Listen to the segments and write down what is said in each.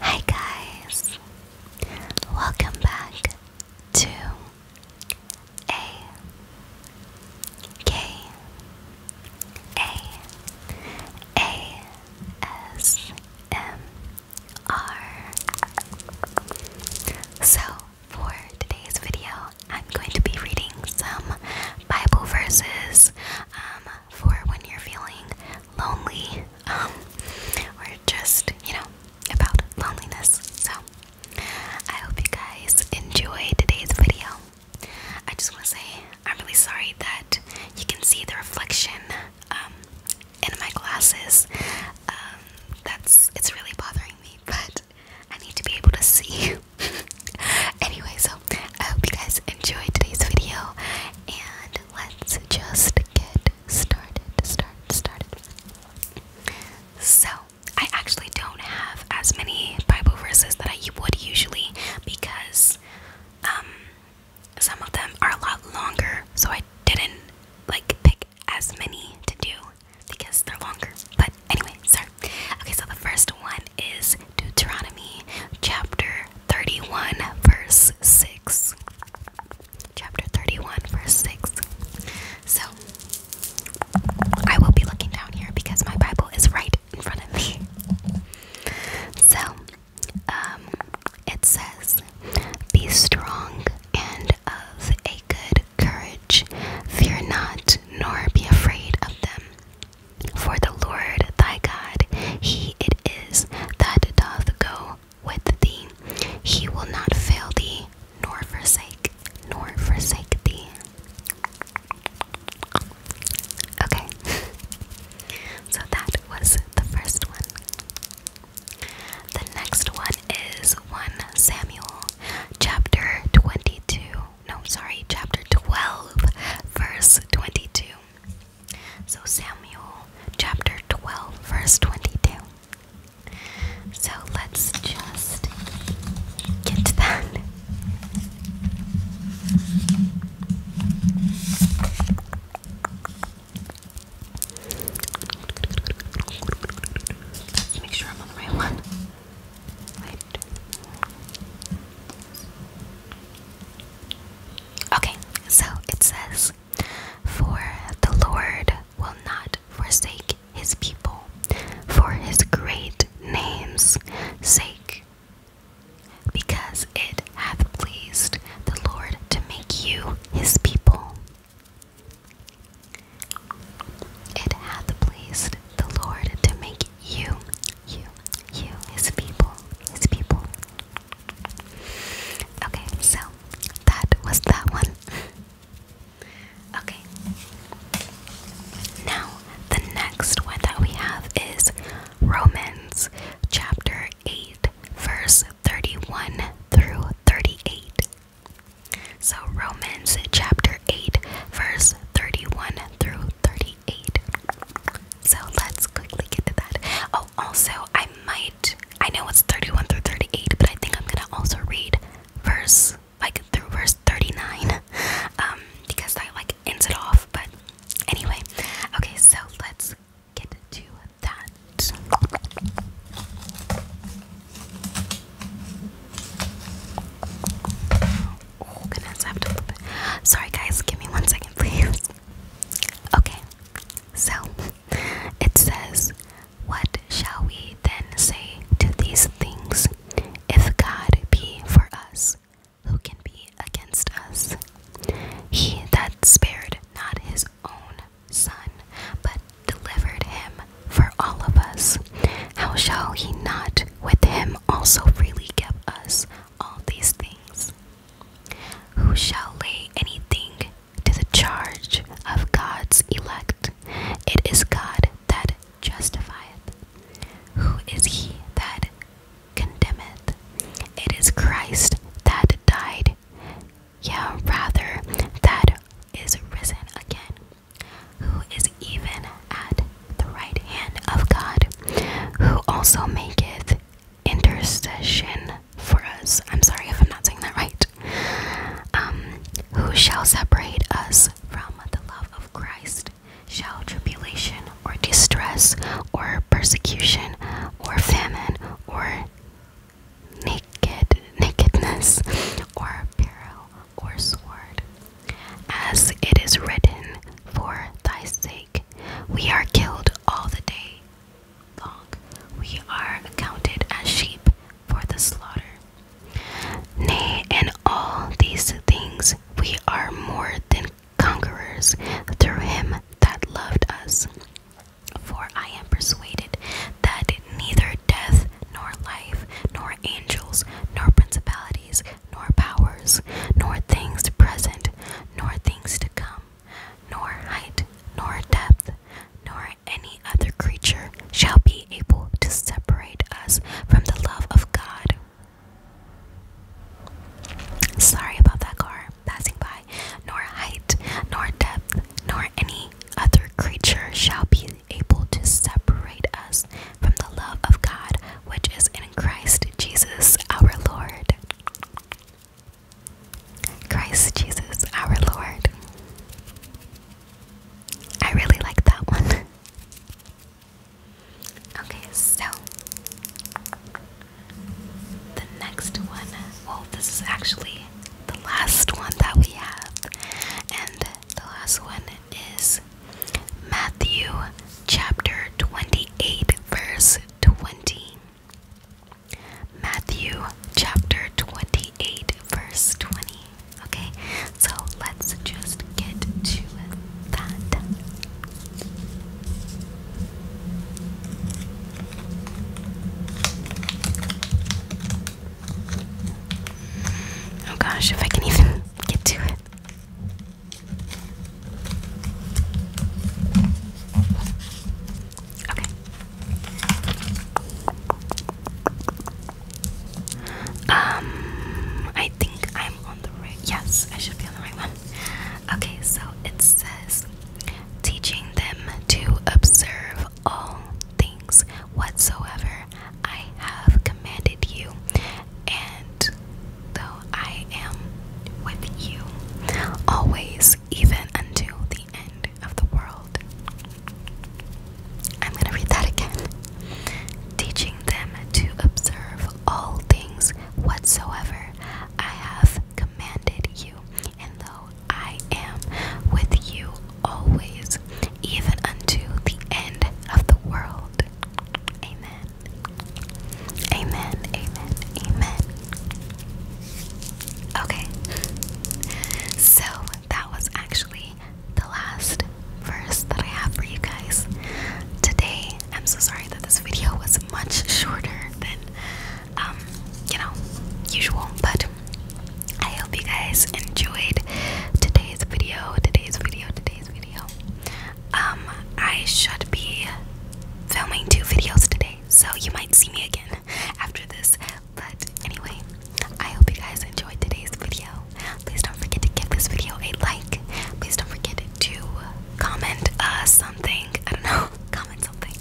Hi guys, welcome back to a K A A S M R. So for today's video, I'm going to be reading some Bible verses um, for when you're feeling lonely um, or just, you know, about loneliness. So I hope you guys enjoy today's video. I just want to say I'm really sorry that you can see the reflection um, in my glasses. that's it's really bothering me, but I need to be able to see you. anyway, so I hope you guys enjoyed today's video, and let's just get started. Start, started. So, I actually don't have as many Bible verses that I would usually because um, some of them are a lot longer, so I didn't like pick as many to do because they're longer. But anyway, sorry. Okay, so the first one is Deuteronomy chapter 31, verse 6. Chapter 31, verse 6. So, I will be looking down here because my Bible is right in front of me. So, um, it says, Be strong and of a good courage, fear not, nor be afraid of them. For the Lord thy God, he it is that doth go with thee. He will not fail thee, nor forsake, nor forsake thee. Okay, so that was the first one. The next one is 1 Samuel chapter 22, no, sorry, chapter 12, verse 22. So, Samuel chapter 12, verse 22. So, let's just get to that. make sure I'm on the right one. Okay, so it says, For the Lord will not forsake his people for his great name's sake, because it hath pleased the Lord to make you his people. It hath pleased the Lord to make you, you, you, his people, his people. Okay, so that was that one. okay. Now, the next one that we have is Romans chapter 8, verse 31 through 38. So, Romans chapter 8, verse 31 through 38. So, let's quickly get to that. Oh, also, I might, I know it's 31 through 38, but I think I'm gonna also read verse, like, through verse 39, um, because that, like, ends it off. But anyway, okay, so let's get to that. Oh goodness, I have to flip it. Sorry guys, give me one second please. Okay, so it says, What shall we then say to these things? If God be for us, who can be against us? He that spared not his own son, but delivered him for all of us. How shall he not with him also freely give us all these things? Who shall lay anything to the charge of God's elect? It is God that justifieth. Who is he that condemneth? It is Christ that died, yea, rather, that is risen again who is even at the right hand of God, who also maketh intercession for us. I'm sorry if I'm not saying that right. Um, who shall separate us from the love of Christ? Shall tribulation or distress or persecution or famine or naked nakedness or peril or sword? As it is written, For thy sake we are killed all the day long, we are accounted as sheep for the slaughter. Nay, in all these things we are more than conquerors through him that loved us. For I am persuaded that neither death nor life, nor angels, nor principalities, nor powers, nor things present, nor things to come, nor height, nor depth, nor any other creature shall be able to separate us from the love of God. Sorry about that car passing by. Nor height, nor depth, nor any other creature shall be unable to separate us from the love of God which is in Christ Jesus our Lord. Christ Jesus our Lord. I really like that one. okay, so the next one, well, this is actually the last one that we have, and the last one is Matthew chapter 28, verse 20. Matthew chapter 28, verse 20. Okay, so let's just get to that. Oh gosh, if I can even get to it. Okay. Um, I think I'm on the right. Yes, I should be on the right one. Okay, so it says teaching them to observe all things whatsoever I have commanded you, and though I am with you always, even until the end of the world. I'm going to read that again. Teaching them to observe all things whatsoever I have commanded you, and though I am with you always, even unto the end of the world. Amen. Amen. Amen. Amen. Okay. So that was actually the last verse that I have for you guys today. I'm so sorry that this video was much shorter than um, you know, usual, but I hope you guys enjoyed today's video, today's video, today's video. Um, I should be filming two videos today, so you might see me again after this. But anyway, I hope you guys enjoyed today's video. Please don't forget to give this video a like. Please don't forget to comment uh, something. I don't know, comment something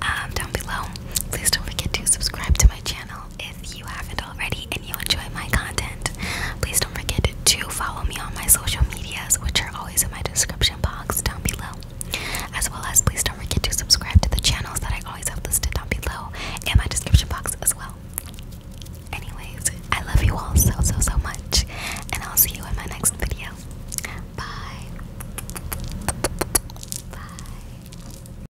um, down below. Please don't forget to subscribe to my channel if you haven't already and you enjoy my content. Please don't forget to follow me on my social medias, which are always in my description box down below. As well as, please don't forget to subscribe to the channels that I always have listed down below in my description box as well. Anyways, I love you all so, so, so much, and I'll see you in my next video. Bye. Bye.